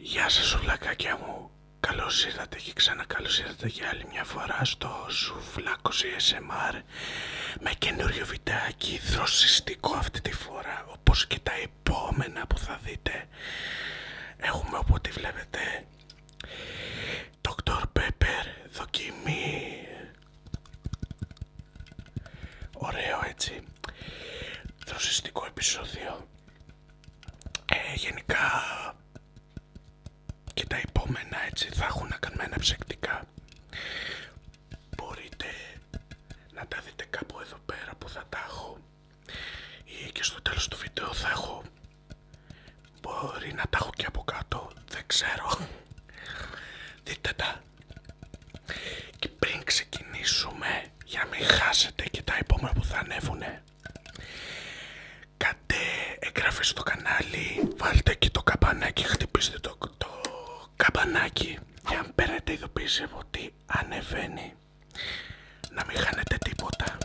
Γεια σας ολάκακια μου. Καλώ ήρθατε και ξανά καλώς ήρθατε για άλλη μια φορά στο σουβλάκο ASMR με καινούριο βιντεάκι δροσιστικό αυτή τη φορά όπως και τα επόμενα που θα δείτε. Έχουμε οπότε βλέπετε Dr. Pepper δοκιμή Ωραίο έτσι. Δροσιστικό επεισόδιο. Ε, γενικά και τα επόμενα έτσι θα έχουν να κάνουμε ψεκτικά Μπορείτε να τα δείτε κάπου εδώ πέρα που θα τα έχω ή και στο τέλος του βίντεο θα έχω μπορεί να τα έχω και από κάτω δεν ξέρω δείτε τα και πριν ξεκινήσουμε, για να μην χάσετε και τα επόμενα που θα ανέβουνε, Κάντε εγγραφή στο κανάλι, βάλτε και το καμπανάκι, χτυπήστε το, το καμπανάκι για αν παίρνετε ειδοποίηση ότι ανεβαίνει, να μην χάνετε τίποτα.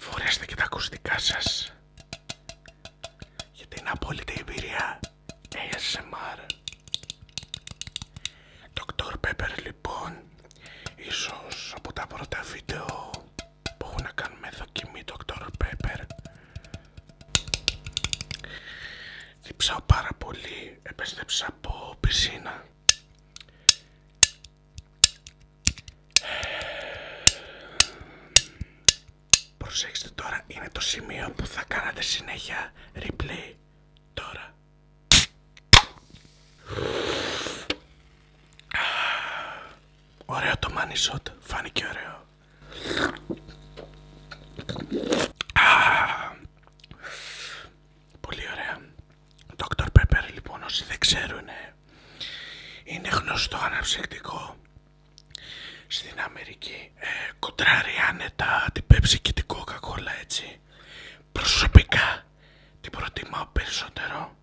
Φορέστε και τα ακουστικά σας για την απόλυτη εμπειρία ASMR. Dr. Pepper λοιπόν, ίσως από τα πρώτα βίντεο που έχουν να κάνουν με δοκιμή Dr. Pepper. Διψάω πάρα πολύ, επέστρεψα από πισίνα. Προσέξτε τώρα, είναι το σημείο που θα κάνατε συνέχεια replay. Τώρα. Ωραίο το money shot, φάνηκε ωραίο. Πολύ ωραία. Dr. Pepper, λοιπόν, όσοι δεν ξέρουν, είναι γνωστό αναψυκτικό στην Αμερική ε, κοντράρει άνετα την Pepsi και την Coca-Cola έτσι προσωπικά την προτιμάω περισσότερο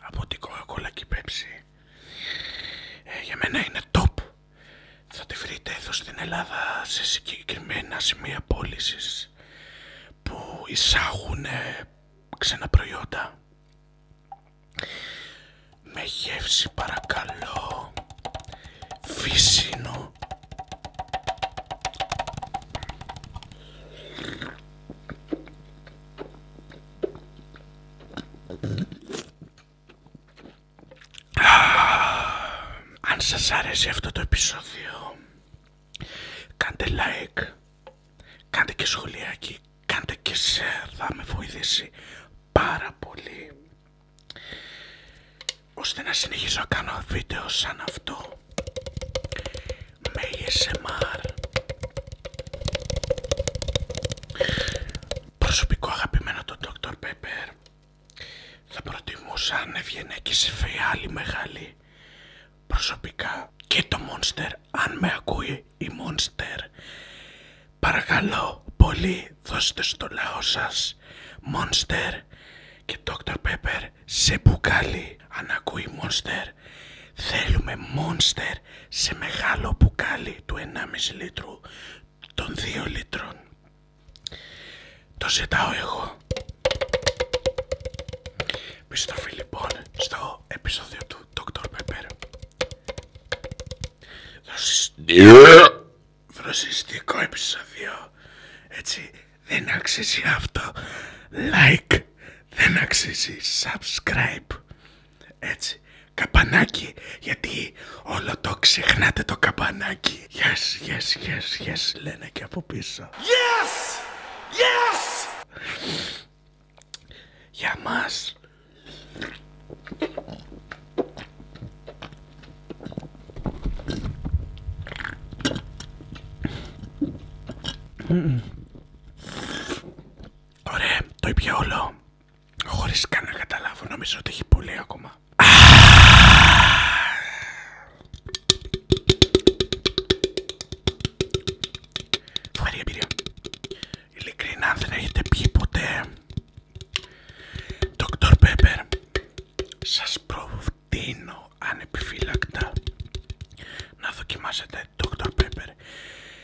από την Coca-Cola και η Pepsi ε, για μένα είναι top θα τη βρείτε εδώ στην Ελλάδα σε συγκεκριμένα σημεία πώλησης που εισάγουν ε, ξένα προϊόντα με γεύση παρακαλώ φυσίνο αν σας αρέσει αυτό το επεισόδιο κάντε like κάντε και σχολιάκι κάντε και share, θα με βοηθήσει πάρα πολύ ώστε να συνεχίσω να κάνω βίντεο σαν αυτό με ASMR προσωπικό αγαπημένο τον Dr. Pepper θα προτιμούσα αν έβγαινε και σε φεϊ μεγάλη προσωπικά και το Monster αν με ακούει η Monster. Παρακαλώ πολύ δώστε στο λαό σας μόνστερ και Dr. Pepper σε μπουκάλι. Αν ακούει Monster θέλουμε μόνστερ σε μεγάλο μπουκάλι του 1,5 λίτρου των 2 λίτρων. Το ζητάω εγώ. Επιστροφή λοιπόν στο επεισόδιο του Dr. Pepper. Ε. Φρασιστικό επεισόδιο. Έτσι δεν αξίζει αυτό. Like. Δεν αξίζει. Subscribe. Έτσι. Καπανάκι. Γιατί όλο το ξεχνάτε το καπανάκι. Yes, yes, yes, yes. Λένε και από πίσω. Yes! Yes! για μας Ωραία, το ήπια όλο χωρίς καν να καταλάβω, νομίζω ότι έχει πολύ ακόμα Φοβερή Ειλικρινά δεν έχετε πει ποτέ Dr. Pepper Σας προτείνω ανεπιφύλακτα να δοκιμάσετε Dr. Pepper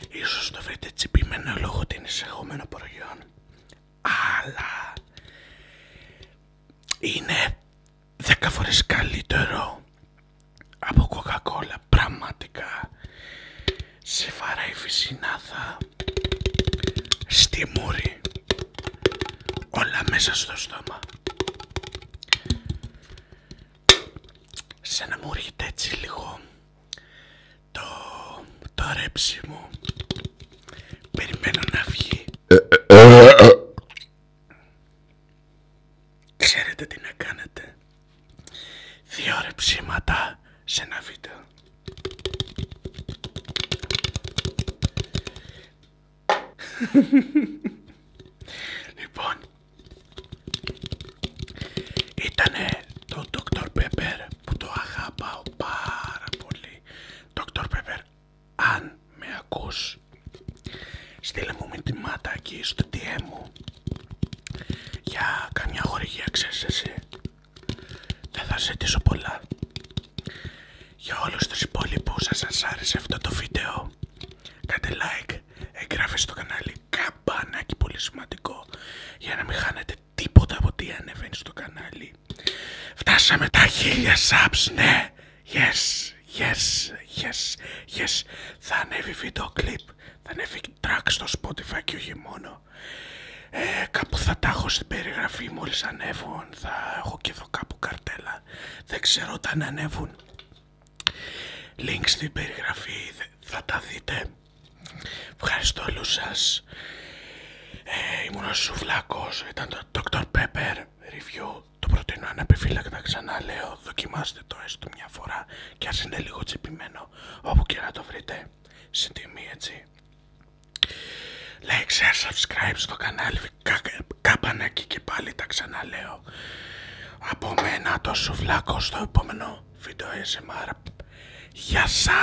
Ίσως το βρείτε τσιπημένο λόγω την εισεχόμενο προϊόν Αλλά είναι 10 φορές καλύτερο απο κοκακόλα, πραγματικά σε φαράει φυσινάδα στη μούρη όλα μέσα στο στόμα σαν να μου έρχεται έτσι λίγο το, το ρέψιμο περιμένω να βγει ξέρετε τι να κάνετε Δύο ρε ψήματα σε ένα βίντεο. λοιπόν, ήτανε το Dr. Pepper που το αγαπάω πάρα πολύ. Dr. Pepper, αν με ακούς, στείλε μου μάτα εκεί στο DM μου για καμιά χορηγία ξέρεις εσύ δεν θα ζητήσω πολλά για όλους τους υπόλοιπους αν σας άρεσε αυτό το βίντεο κάντε like, εγγράφεστε στο κανάλι καμπανάκι πολύ σημαντικό για να μην χάνετε τίποτα από τι ανεβαίνει στο κανάλι φτάσαμε τα χίλια subs ναι yes yes yes yes θα ανέβει βίντεο κλιπ θα ανέβει track στο Spotify και όχι μόνο. Ε, κάπου θα τα έχω στην περιγραφή μόλις ανέβουν, θα έχω και εδώ κάπου καρτέλα, δεν ξέρω όταν ανέβουν. Link στην περιγραφή, θα τα δείτε. Ευχαριστώ όλους σας. Ε, ήμουν ο Σουβλάκος, ήταν το Dr. Pepper Review. Το προτείνω ανεπιφύλακτα ξανά λέω, δοκιμάστε το έστω μια φορά και ας είναι λίγο τσιπημένο όπου και να το βρείτε στην τιμή έτσι like, share, subscribe στο κανάλι κα, καμπανάκι και πάλι τα ξαναλέω από μένα το σουβλάκο στο επόμενο βίντεο ASMR Γεια σας